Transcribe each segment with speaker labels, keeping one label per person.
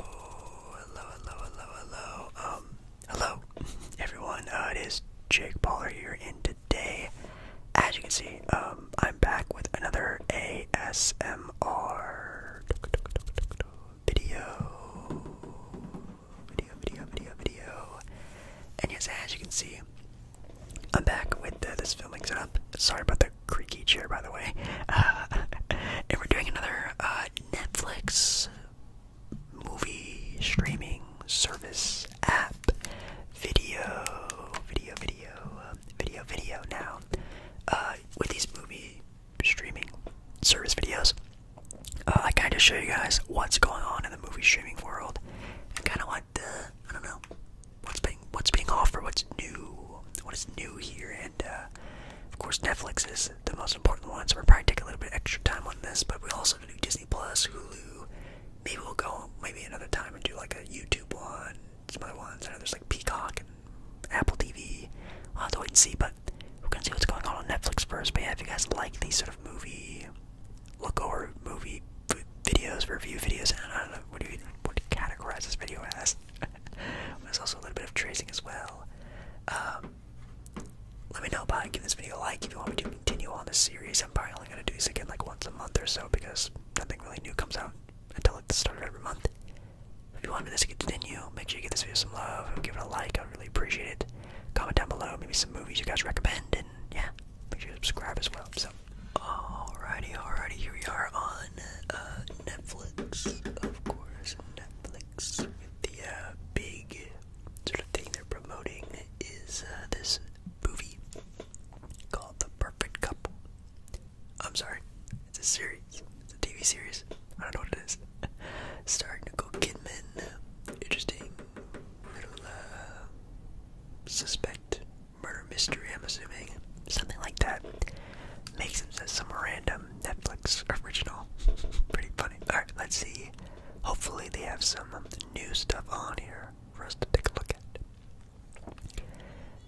Speaker 1: hello, hello, hello, hello. Um, hello, everyone. Uh, it is Jake Baller here, and today, as you can see, um, I'm back with another ASMR video, video, video, video, video. And yes, as you can see, I'm back with uh, this filming setup. Sorry about the creaky chair, by the way. Uh, and we're doing another uh, Netflix movie streaming service app video video video video video now uh, with these movie streaming service videos uh, I kind of show you guys what's going on in the movie streaming world and kind of what the I don't know what's being what's being offered what's new what is new here and uh, of course Netflix is the most important ones. We're probably taking a little bit extra time on this, but we also do Disney Plus, Hulu. Maybe we'll go maybe another time and do like a YouTube one, some other ones. I know there's like Peacock and Apple TV. We'll have to wait and see, but we're gonna see what's going on on Netflix first. But yeah, if you guys like these sort of movie look over movie videos, review videos, and I don't know what do you what do you categorize this video as? There's also a little bit of tracing as well. Um, let me know by giving this video a like if you want me to continue on this series. I'm probably only going to do this again like once a month or so because nothing really new comes out until it's started every month. If you want me to continue, make sure you give this video some love and give it a like. I really appreciate it. Comment down below maybe some movies you guys recommend and yeah, make sure you subscribe as well. So, alrighty, alrighty, here we are on uh, Netflix, of course. Netflix. The uh, big sort of thing they're promoting is uh, this movie called The Perfect Couple. I'm sorry, it's a series. It's a TV series. I don't know what it is. Starring Nicole Kidman. Interesting little uh, suspect murder mystery. I'm assuming something like that. Makes him some random um, Netflix original. Pretty funny. Alright, let's see. Hopefully, they have some um, new stuff on here for us to take a look at.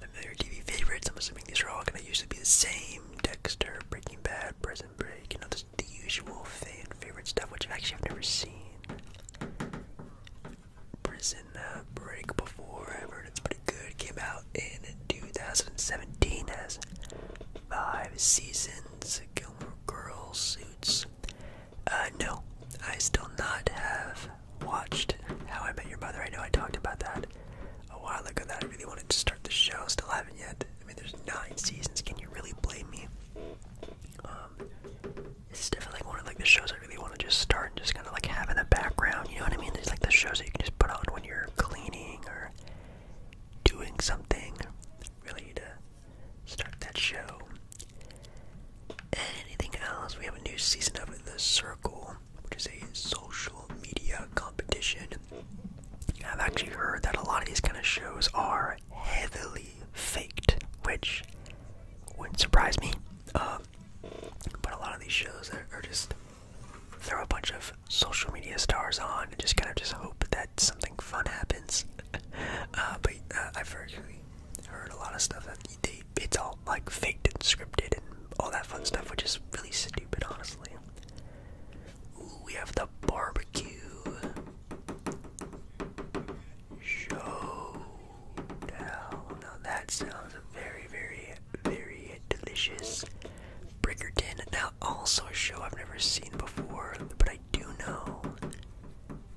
Speaker 1: Familiar TV favorites. I'm assuming these are all going to usually be the same. Dexter, Breaking Bad, Prison Break. You know, this, the usual fan favorite stuff, which I actually have never seen. Prison uh, Break before. I've heard it's pretty Good came out in 2017 as five seasons Gilmore Girls suits. Uh, no, I still not have watched How I Met Your Mother. I know I talked about that a while ago. That I really wanted to start the show. Still haven't yet. I mean, there's nine seasons. Can you really blame me? Um, it's definitely like one of like the shows I really want to just start and just kind of like have in the background. You know what I mean? There's like the shows that you can just put on when you're cleaning or doing something really to start that show. Anything else? We have a new season of The Circle, which is a social media competition. I've actually heard that a lot of these kind of shows are heavily faked, which wouldn't surprise me. Um, but a lot of these shows are, are just throw a bunch of social media stars on and just kind of just hope that something fun happens. Uh, but uh, I've heard, heard a lot of stuff that they, it's all like faked and scripted and all that fun stuff, which is really stupid, honestly. we have the barbecue showdown. Now that sounds very, very very delicious. Brickerton, now also a show I've never seen before, but I do know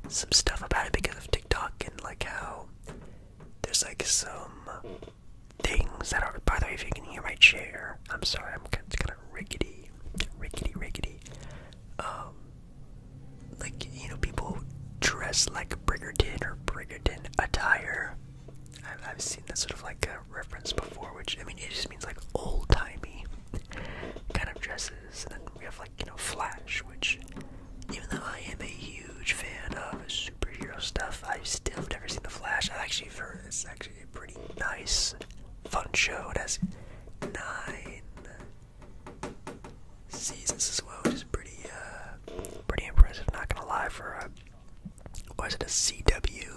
Speaker 1: some stuff about it because of TikTok and like how there's like some things that are. By the way, if you can hear my chair, I'm sorry, I'm kind of rickety, rickety, rickety. Um, like you know, people dress like Brickerton or Brickerton attire. I've, I've seen that sort of like a uh, referenced before, which I mean it just means like old timey kind of dresses. And then we have like, you know, Flash, which even though I am a huge fan of superhero stuff, I still never seen the Flash. i actually heard it's actually a pretty nice, fun show. It has nine seasons as well, which is pretty uh pretty impressive, not gonna lie, for or is it a CW,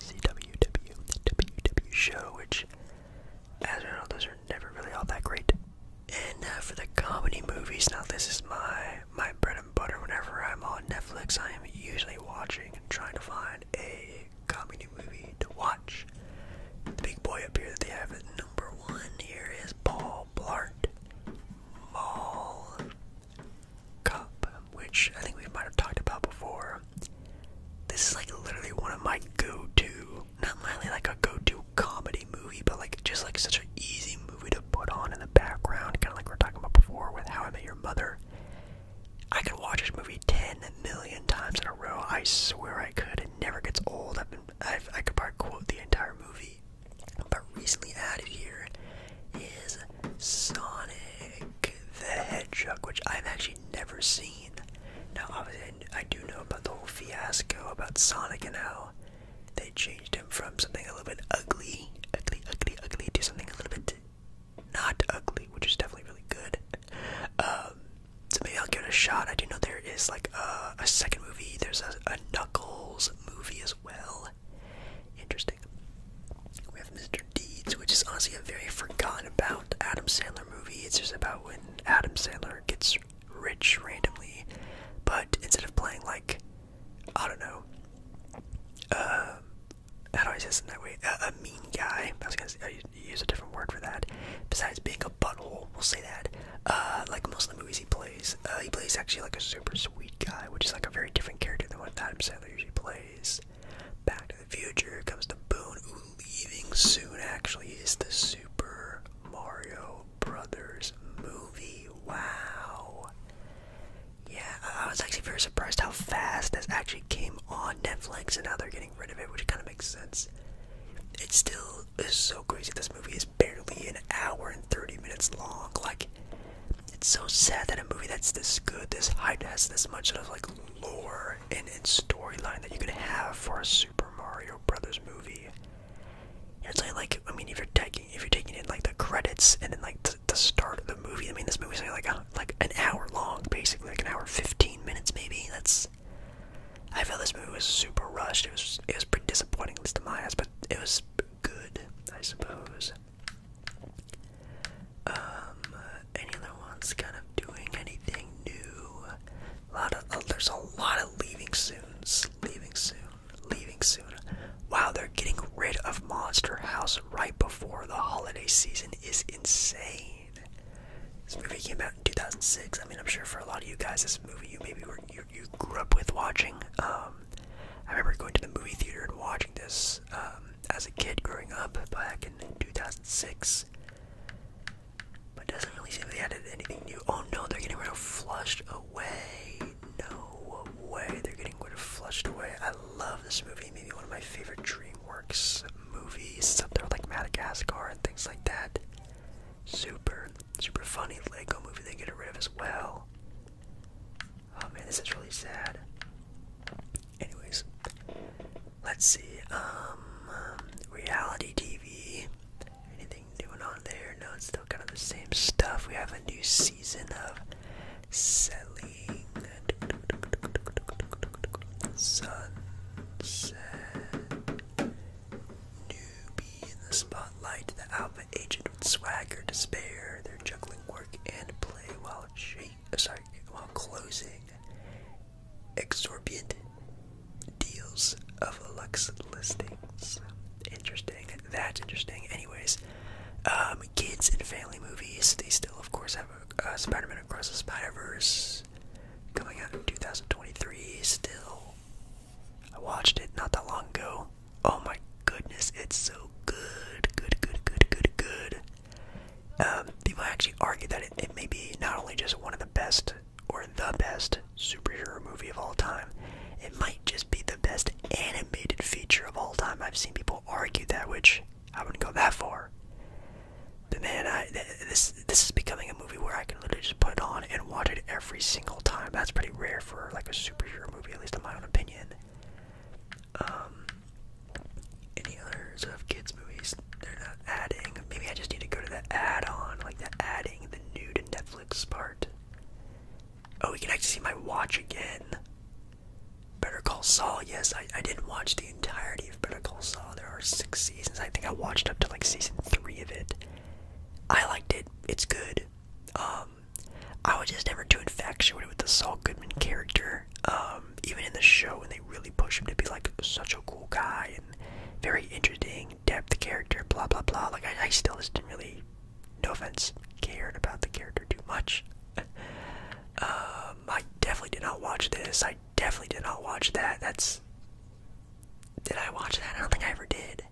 Speaker 1: CWW, WW show? Which, as you know, those are never really all that great. And uh, for the comedy movies, now this is my my bread and butter. Whenever I'm on Netflix, I am usually watching and trying to find a comedy movie to watch. The big boy up here that they have at number one here is Paul Blart. Mall which I think we might have talked about before. This is like literally one of my go-to, not mainly like a go-to comedy movie, but like just like such an easy movie to put on in the background, kind of like we are talking about before with How I Met Your Mother. I could watch this movie ten million times in a row. I swear I could. It never gets old. I've i could part quote the entire movie. But recently added here is Sonic the Hedgehog, which I've actually never seen. Now, obviously, I do know about the whole fiasco about Sonic and how they changed him from something a little bit ugly, ugly, ugly, ugly, to something a little bit not ugly, which is definitely really good. Um, so maybe I'll give it a shot. I do know there is like a, second movie. There's a Knuckles movie as well. Interesting. We have Mr. Deeds, which is honestly a very forgotten about Adam Sandler movie. It's just about when Adam Sandler gets rich randomly, but instead of playing like, I don't know, uh, how do I say it that way? a mean guy. I was gonna use a different word for that. Besides being a butthole, we'll say that. Uh, like most of the movies he plays uh, he plays actually like a super sweet guy, which is like a very different character than what Adam Sandler usually plays. Back to the Future comes to Boone, leaving soon actually is the Super Mario Brothers movie. Wow. Yeah, I was actually very surprised how fast this actually came on Netflix, and now they're getting rid of it, which kind of makes sense. It still is so crazy. This movie is barely an hour and 30 minutes long. Like, it's so sad that a movie that's this good, this hype, has this much of like lore and, storyline that you could have for a Super Mario Brothers movie. It's like, I mean, if you're taking if you're taking in like the credits and then like the start of the movie, I mean, this movie's like a, like an hour long, basically like an hour fifteen minutes maybe. That's I felt this movie was super rushed. It was it was pretty disappointing, at least to my eyes, but it was good, I suppose. Um, any other ones kind of doing anything new? A lot of, oh, there's a lot of leaving soon, leaving soon, leaving soon. Wow, they're getting rid of Monster House right before the holiday season is insane. This movie came out in 2006. I mean, I'm sure for a lot of you guys, this movie you maybe were you you grew up with watching. Um, I remember going to the movie theater and watching this um, as a kid growing up back in 2006. But doesn't really seem they added anything new. Oh no, they're getting rid of Flushed Away. No way, they're getting rid of Flushed Away. I love this movie. Maybe one of my favorite DreamWorks movies. It's up there like Madagascar and things like that. Super, super funny Lego movie they get rid of as well. Oh man, this is really sad. Anyways, let's see. Um, reality TV. Anything doing on there? No, it's still kind of the same stuff. We have a new season of selling. Sunset. Newbie in the spotlight. The alpha agent with swagger, despair. There's juggling work and play while shape, sorry, while closing exorbitant deals of Lux listings. Interesting. That's interesting. Anyways, um, kids and family movies. They still, of course, have a, uh, Spider-Man Across the Spiderverse coming out in 2023. Still, I watched it not that long ago. Oh my goodness, it's so good, good, good, good, good, good. Um, people actually argue that it, may be not only just one of the best or the best superhero movie of all time, it might just be the best animated feature of all time. I've seen people argue that, which I wouldn't go that far. But man, I, this this is becoming a movie where I can literally just put it on and watch it every single time. That's pretty rare for like a superhero movie, at least in my own opinion. Um, any other of kids movies they're not adding? Maybe I just need to go to the add-on, like the adding the new to Netflix part. Oh, we can actually see my watch again. Better Call Saul. Yes, I I didn't watch the entirety of Better Call Saul. There are six seasons. I think I watched up to like season three of it. I liked it. It's good. Um, um, I was just never too infatuated with the Saul Goodman character. Um, even in the show, when they really push him to be like such a cool guy and very interesting, depth character, blah blah blah. Like I, still just didn't really, no offense, cared about the character too much. Um, I definitely did not watch this. I definitely did not watch that. That's. Did I watch that? I don't think I ever did.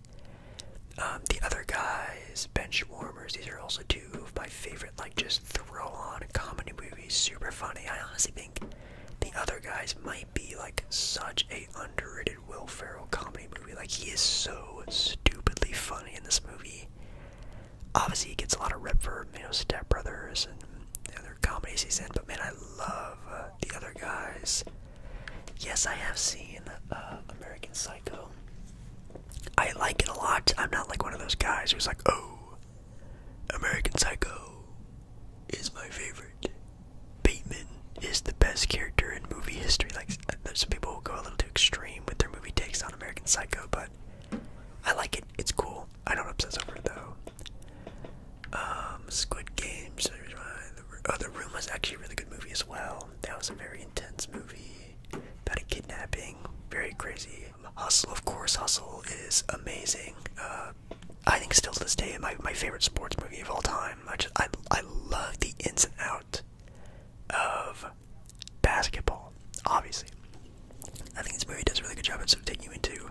Speaker 1: Um, the other guys, benchwarmers. these are also two of my favorite, like just throw on comedy movies, super funny. I honestly think the other guys might be like such a underrated Will Ferrell comedy movie. Like he is so stupidly funny in this movie. Obviously, he gets a lot of rep for you know Step Brothers and the other comedies he's in, but man, I love uh, the other guys. Yes, I have seen uh, American Psycho. I like it a lot. I'm not like one of those guys who's like, oh, American Psycho is my favorite. Bateman is the best character in movie history. Like, some people will go a little too extreme with their movie takes on American Psycho, but I like it. It's cool. I don't obsess over it though. Um, Squid Games. Oh, The Room was actually a really good movie as well. Um, that was a very intense movie about a kidnapping. Very crazy. Hustle, of course. Hustle is amazing. Uh, I think still to this day my my favorite sports movie of all time. I just I I love the ins and outs of basketball. Obviously, I think this movie does a really good job at sort of taking you into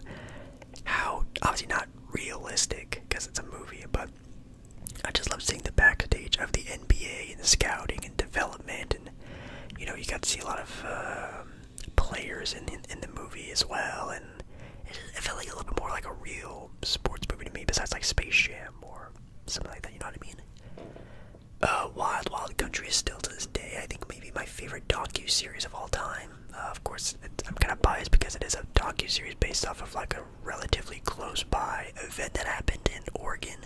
Speaker 1: how obviously not realistic because it's a movie, but I just love seeing the backstage of the NBA and the scouting and development, and you know you got to see a lot of uh, players in, in in the movie as well, and it, just, it felt like a little bit more like a real sports movie to me, besides like Space Jam or something like that. You know what I mean? Uh, Wild Wild Country is still to this day, I think, maybe my favorite docu series of all time. Uh, of course, it, I'm kind of biased because it is a docu series based off of like a relatively close by event that happened in Oregon,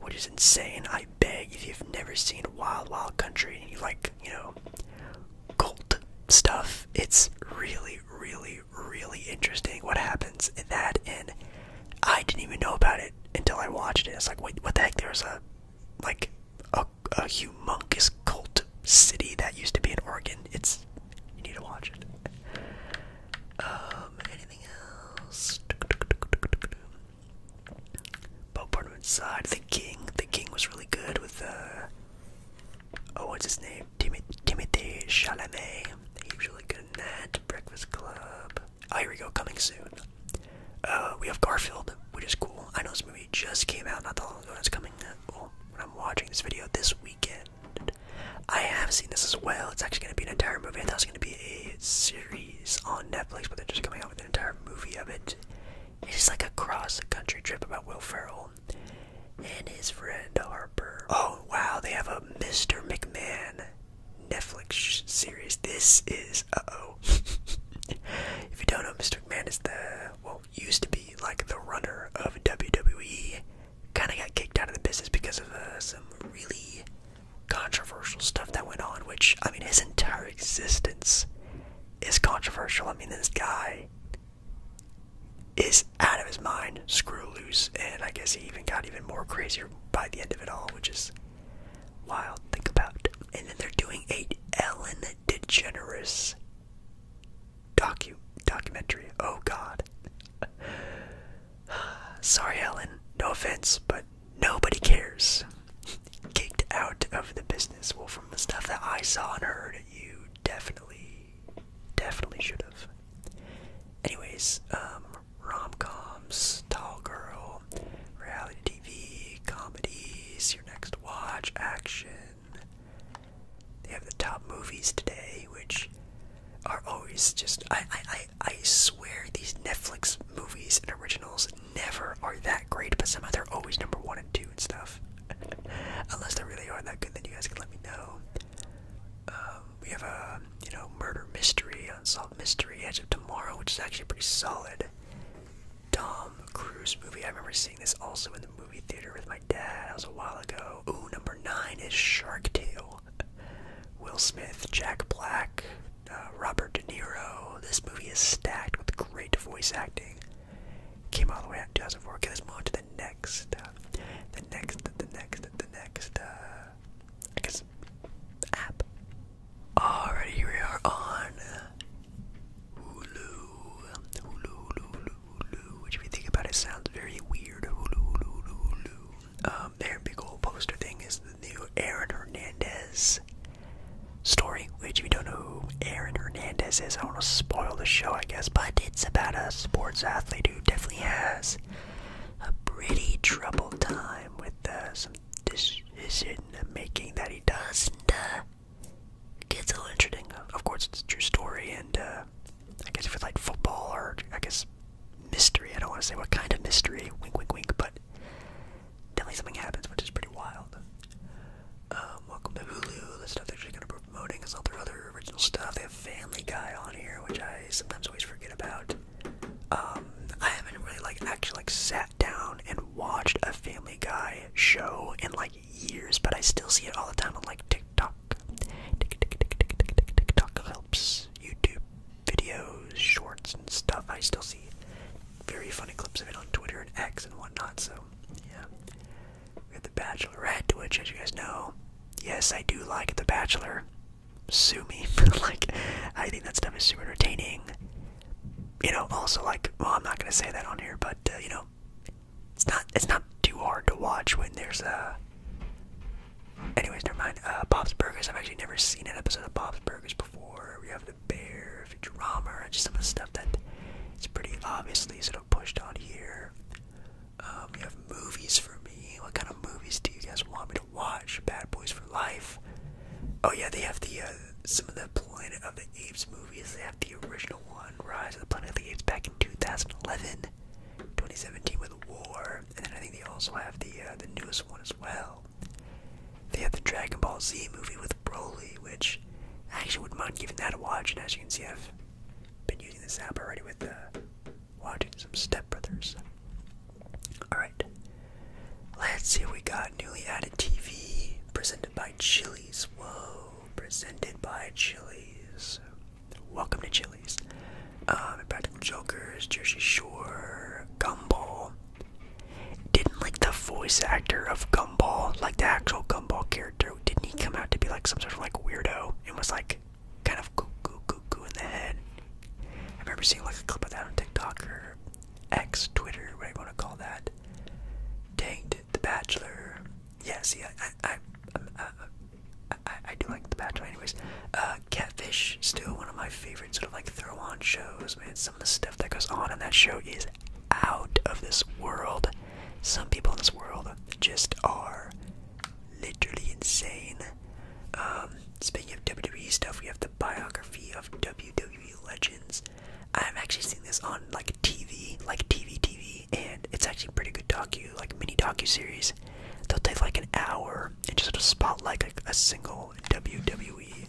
Speaker 1: which is insane. I beg if you've never seen Wild Wild Country and you like, you know, cult stuff, it's really, really, really interesting what happens in that. And I didn't even know about it until I watched it. It's like, wait, what the heck? There's a, like, a humongous cult city that used to be in Oregon. It's, you need to watch it. Um, anything else? Bo Portman's side, the king. The king was really good with uh oh, what's his name? Timothy Chalamet. He was really good in that. Breakfast Club. Oh, here we go. Coming soon. Uh, we have Garfield, which is cool. I know this movie just came out not that long ago. It's coming. Uh, well, when I'm watching this video this weekend. I have seen this as well. It's actually going to be an entire movie. I thought it was going to be a series on Netflix, but they're just coming out with an entire movie of it. It's like a cross-country trip about Will Ferrell and his friend Harper. Oh wow, they have a Mr. McMahon Netflix series. This is uh-oh. if you don't know, Mr. McMahon is the well used to be like the runner of WWE kind of got kicked out of the business because of uh, some really controversial stuff that went on, which, I mean, his entire existence is controversial. I mean, this guy is out of his mind, screw loose, and I guess he even got even more crazier by the end of it all, which is wild. Think about. And then they're doing a Ellen DeGeneres docu documentary. Oh God. Sorry, Alan. No offense, but nobody cares. Kicked out of the business. Well, from the stuff that I saw and heard, you definitely, definitely should have. Anyways, um, rom coms, Tall Girl, reality TV, comedies, Your Next Watch, action. They have the top movies today, which are always just I I I, swear these Netflix movies and originals never are that great, but somehow they're always number one and two and stuff. Unless they really are that good, then you guys can let me know. Um, we have a you know murder mystery, unsolved mystery, Edge of Tomorrow, which is actually pretty solid. Tom Cruise movie. I remember seeing this also in the movie theater with my dad. That was a while ago. Oh, number nine is Shark Tale. Will Smith, Jack Black, uh, Robert De Niro. This movie is stacked with great voice acting. Came all the way out in 2004. Okay, let's move on to the next. Uh, the next, the next, the next, uh, I guess, app. Alrighty, here we are on Hulu, which if you think about it sounds very weird. Hulu, um, big old poster thing is the new Aaron Hernandez story, which if you don't know who Aaron Hernandez is, I don't want to spoil the show, I guess, but it's about a sports athlete who definitely has a pretty troubled time with uh, some decision making that he does and uh, gets a little interesting. Of course, it's a true story and uh, I guess if it's like football or I guess mystery, I don't want to say what kind of mystery, wink, wink, wink, but definitely something happens, which is pretty wild. Um, welcome to Hulu. The stuff they're just gonna be promoting is all their other original stuff. They have Family Guy on here, which I sometimes always forget about. Um, I haven't really like actually like sat down and watched a Family Guy show in like years, but I still see it all the time on like TikTok TikTok. TikTok helps YouTube videos, shorts, and stuff. I still see very funny clips of it on Twitter and X and whatnot. So yeah, we have The Bachelorette, which, as you guys know, yes, I do like The Bachelor. Sue me, like I think that stuff is super entertaining. You know, also like, well, I'm not gonna say that on here, but you know, it's not it's not too hard to watch when there's a. anyways never mind. Uh Bob's Burgers. I've actually never seen an episode of Bob's Burgers before. We have the bear, Futurama, just some of the stuff that it's pretty obviously sort of pushed on here. Um you have movies for me. What kind of movies do you guys want me to watch? Bad Boys for Life. Oh yeah, they have the uh, some of the Planet of the Apes movies. They have the original one, Rise of the Planet of the Apes, back in 2011. 2017 with War, and then I think they also have the uh, the newest one as well. They have the Dragon Ball Z movie with Broly, which I actually wouldn't mind giving that a watch. And as you can see, I've been using this app already with uh, watching some Step Brothers. All right, let's see what we got. Newly added TV presented by Chili's. Whoa, presented by Chili's. Welcome to Chili's. Um, Practical Jokers, Jersey Shore, Gumball. Didn't like the voice actor of Gumball, like the actual Gumball character. Didn't he come out to be like some sort of like weirdo and was like kind of goo goo goo goo in the head? I remember seeing like a clip of that on TikTok or X, Twitter, whatever you want to call that. Danged, The Bachelor, yeah, see, I, I, I, uh, uh, I, do like The Bachelor, anyways. Uh, Catfish, still one of my favorite sort of like throw-on shows. Man, some of the stuff that goes on in that show is out of this world. Some people in this world just are literally insane. Um, speaking of WWE stuff, we have the biography of WWE legends. I'm actually seeing this on like TV, like TV, TV and it's actually pretty good docu, like mini docu series. They'll take like an hour and just sort spotlight like a single WWE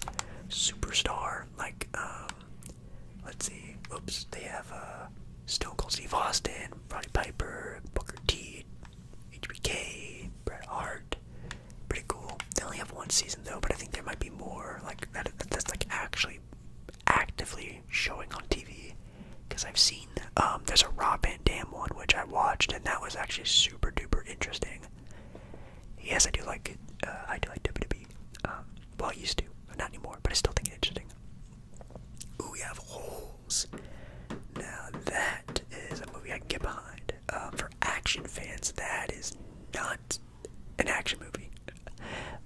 Speaker 1: superstar. Like, um, let's see, oops, they have uh, Stone Cold Steve Austin, Roddy Piper, Booker T, HBK, Bret Hart. Pretty cool. They only have one season though, but I think there might be more. Like that, that's like actually actively showing on TV because I've seen um, there's a Rob Van Dam one which I watched and that was actually super duper interesting. Yes, I do like it. Uh, I do like WWE. Um, well, I used to, not anymore, but I still think it's interesting. Ooh, we have holes. Now that is a movie I can get behind. Um, for action fans, that is not an action movie.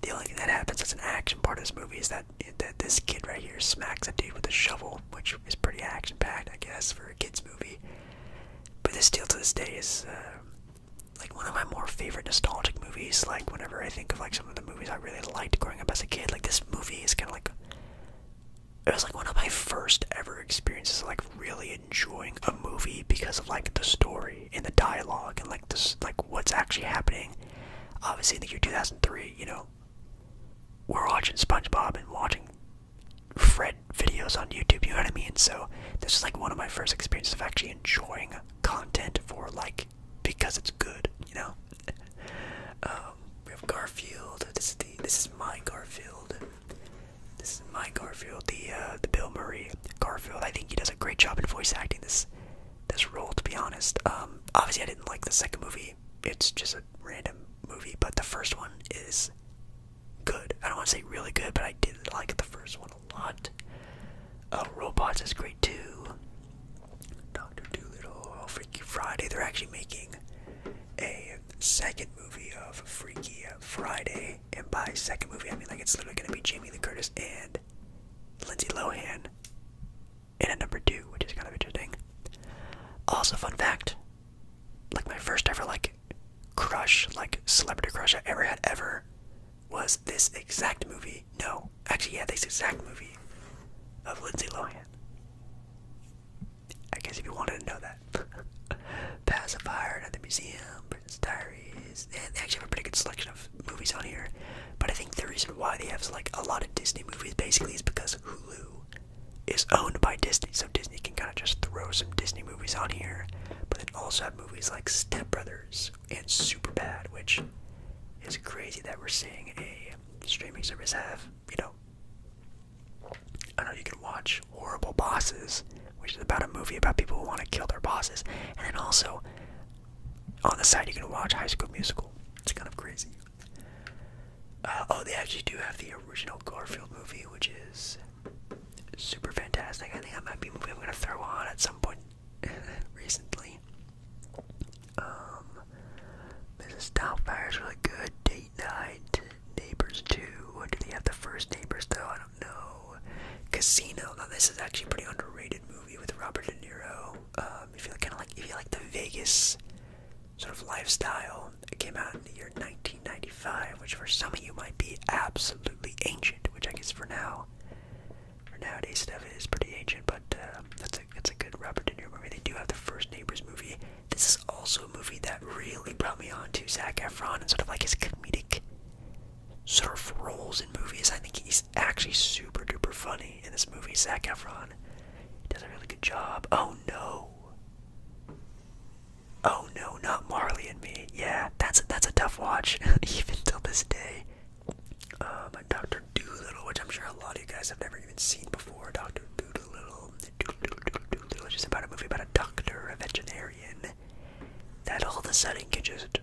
Speaker 1: The only thing that happens as an action part of this movie is that that this kid right here smacks a dude with a shovel, which is pretty action packed, I guess, for a kids movie. But this still to this day is uh, like one of my more favorite nostalgic movies. Like whenever I think of like some of the movies I really liked growing up as a kid, like this movie is kind of like it was like one of my first ever experiences like really enjoying a movie because of like the story and the dialogue and like this like what's actually happening obviously in the year 2003 you know we're watching SpongeBob and watching Fred videos on YouTube, you know what I mean? So this is like one of my first experiences of actually enjoying content for like because it's good, you know. Um, we have Garfield. This is the this is my Garfield. This is my Garfield. The uh, the Bill Murray Garfield. I think he does a great job in voice acting. This this role, to be honest. Um, obviously, I didn't like the second movie. It's just a random movie, but the first one is good. I don't want to say really good, but I did like the first one a lot. Uh, Robots is great too. Doctor Dolittle, Freaky Friday. They're actually making a second movie of Freaky Friday, and by second movie, I mean like it's literally gonna be Jamie Lee Curtis and Lindsay Lohan and at number two, which is kind of interesting. Also, fun fact, like my first ever like crush, like celebrity crush I ever had ever was this exact movie. No, actually yeah, this exact movie of Lindsay Lohan. I guess if you wanted to know that. Pacifier at the museum, Prince Diaries, they actually have a pretty good selection of movies on here. But I think the reason why they have like a lot of Disney movies basically is because Hulu is owned by Disney, so Disney can kind of just throw some Disney movies on here. But then also have movies like Step Brothers and Superbad, which is crazy that we're seeing a streaming service have. You know, I know you can watch Horrible Bosses, which is about a movie about people who want to kill their bosses, and then also on the side you can watch High School Musical. It's kind of crazy. Uh, oh, they actually do have the original Garfield movie, which is super fantastic. I think that might be a movie I'm gonna throw on at some point recently. Um, Mrs. Doubtfire is really good. Date Night, Neighbors 2. Do they have the first Neighbors though? I don't know. Casino. Now this is actually pretty underrated movie with Robert De Niro. Um, if you kind of like if you like the Vegas sort of lifestyle, it came out in the year 1995, which for some of you might be absolutely ancient, which I guess for now, for nowadays stuff it is pretty ancient, but uh, that's a that's a good Robert De Niro movie. They do have the first Neighbors movie. This is also a movie that really brought me on to Zac Efron and sort of like his comedic sort of roles in movies. I think he's actually super duper funny in this movie, Zach Efron does a really good job. Oh no! Oh no, not Marley and Me. Yeah, that's that's a tough watch, even till this day. Um, Doctor Doolittle, which I'm sure a lot of you guys have never even seen before. Doctor Doolittle, Doolittle, Doolittle, just about a movie about a doctor, a veterinarian, that all of a sudden can just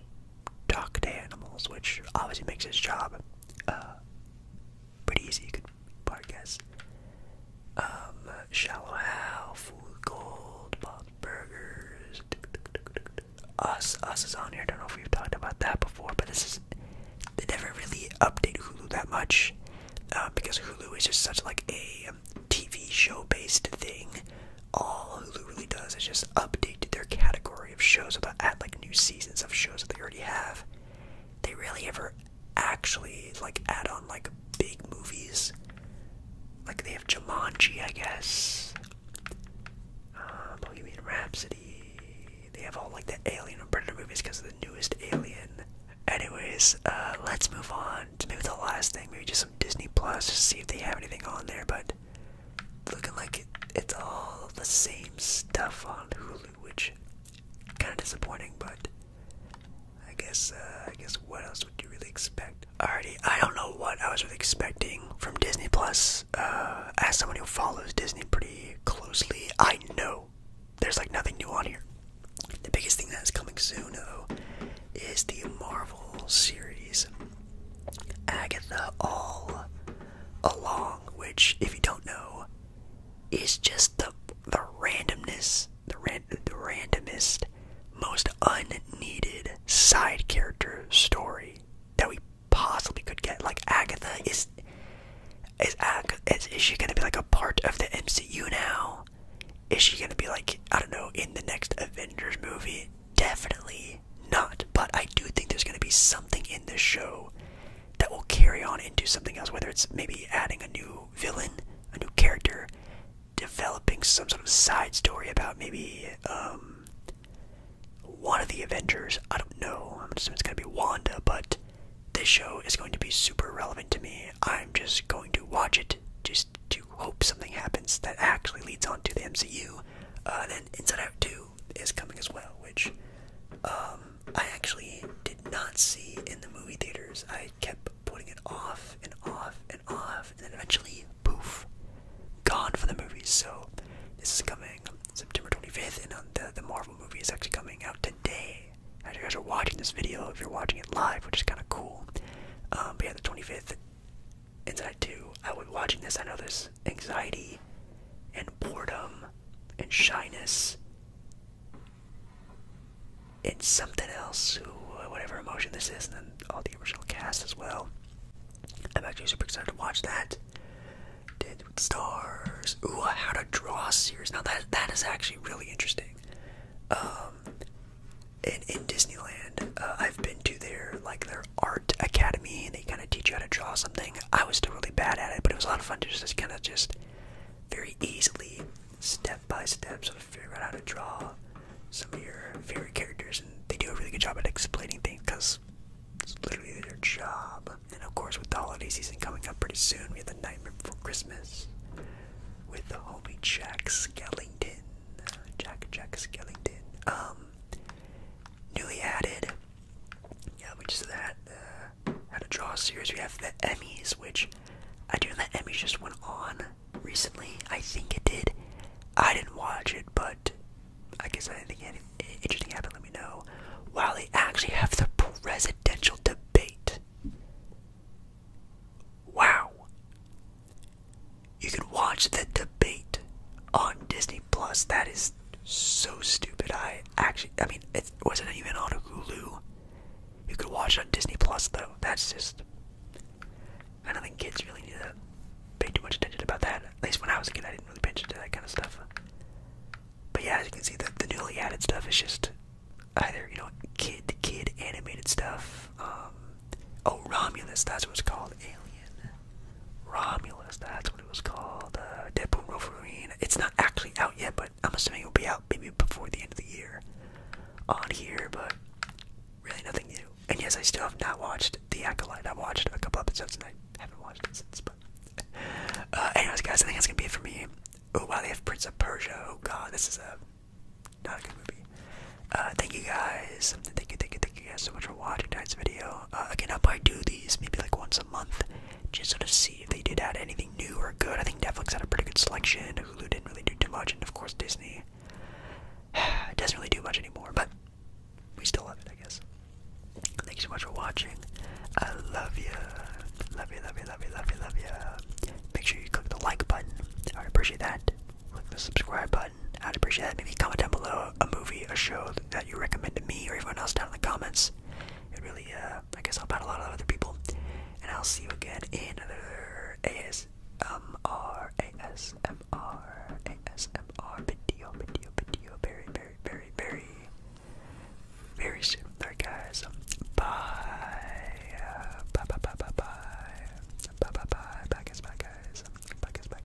Speaker 1: talk to animals, which obviously makes his job uh, pretty easy. You could probably guess. Um, shallow How, Food Gold, Bob's Burgers. Us, Us is on here. I don't know if we've talked about that before, but this is they never really update Hulu that much um, because Hulu is just such like a TV show based thing. All Hulu really does is just update their category of shows about add like new seasons of shows that they already have. They rarely ever actually like add on like big movies. Like they have Jumanji, I guess. Uh, um, oh, Bohemian Rhapsody. They have all like the Alien and Predator movies because of the newest Alien. Anyways, uh, let's move on to maybe the last thing, maybe just some Disney Plus, to see if they have anything on there. But looking like it's all the same stuff on Hulu, which kind of disappointing, but I guess uh, I guess what else would you really expect? Alrighty, I don't know what I was really expecting from Disney Plus. Uh, as someone who follows Disney pretty closely, I know there's like nothing new on here. The biggest thing that is coming soon, though, is the Marvel series Agatha All Along which, if you don't know, is just the the randomness, the ran the randomest, most unneeded side character story that we possibly could get. Like Agatha is is Ag is she gonna be like a part of the MCU now? Is she gonna be like I don't know in the next Avengers movie? Definitely not. But I do think there's going to be something in this show that will carry on into something else, whether it's maybe adding a new villain, a new character, developing some sort of side story about maybe um, one of the Avengers. I don't know. I'm assuming it's going to be Wanda, but this show is going to be super relevant to me. I'm just going to watch it just to hope something happens that actually leads on to the MCU. Uh, and then Inside Out 2 is coming as well, which um, I actually did not see in the movie theaters. I kept putting it off and off and off, and then eventually, poof, gone for the movies. So this is coming September 25th, and um, the, the Marvel movie is actually coming out today. As you guys are watching this video, if you're watching it live, which is kind of cool. Um, but yeah, the 25th and that too, I was watching this, I know there's anxiety and boredom and shyness and something else, uh, whatever emotion this is, and then all the original cast as well. I'm actually super excited to watch that. Dead with Stars. Ooh, How to Draw series. Now that that is actually really interesting. Um, and in Disneyland, uh, I've been to their like their art academy and they kind of teach you how to draw something. I was still really bad at it, but it was a lot of fun to just kind of just very easily, step by step, sort of figure out how to draw some of your favorite characters. And they do a really good job at explaining things because it's literally their job. And of course, with the holiday season coming up pretty soon, we have the Nightmare Before Christmas with the homie Jack Skellington. Jack Jack Skellington. Um, newly added yeah, which is that uh, how to draw series. We have the Emmys, which I do know the Emmys just went on recently. I think it did. I didn't watch it, but I guess I anything interesting happened. Let me know. While they actually have the presidential debate. Wow. You can watch the debate on Disney Plus. That is so stupid. I actually, I mean, it wasn't even on Hulu. You could watch on Disney Plus though. That's just, I don't think kids really need to pay too much attention about that. At least when I was a kid, I didn't really pay attention to that kind of stuff. But yeah, as you can see, the, newly added stuff is just either you know kid kid animated stuff. Um, oh, Romulus, that's what's called. Alien. Romulus, that's what it was called. Uh, Deadpool Wolverine. It's not actually out yet, but I'm assuming it'll be out maybe before the end of the year on here, but really nothing new. And yes, I still have not watched The Acolyte. I watched a couple episodes and I haven't watched it since, but. Uh, anyways, guys, I think that's gonna be it for me. Oh, wow, they have Prince of Persia. Oh, God, this is a. Not a good movie. Uh, thank you guys. thank you, thank you thank you guys so much for watching tonight's video. Uh, again, I'll probably do these maybe like once a month, just to see if they did add anything new or good. I think Netflix had a pretty good selection. Hulu didn't really do too much, and of course Disney doesn't really do much anymore. But we still have it, I guess. Thank you so much for watching. I love you, love you, love you, love you, love you, love you. Make sure you click the like button. I would appreciate that. Click the subscribe button gotten. I'd appreciate that. Maybe comment down below a movie, a show that you recommend to me or everyone else down in the comments. It really, uh, I guess, help out a lot of other people. And I'll see you again in another ASMR, ASMR, ASMR video, video, video, very, very, very, very, very soon. Alright, guys. Bye. Bye, bye, bye, bye, bye. Bye, bye, bye. Bye, guys, bye, guys. Bye, guys, bye.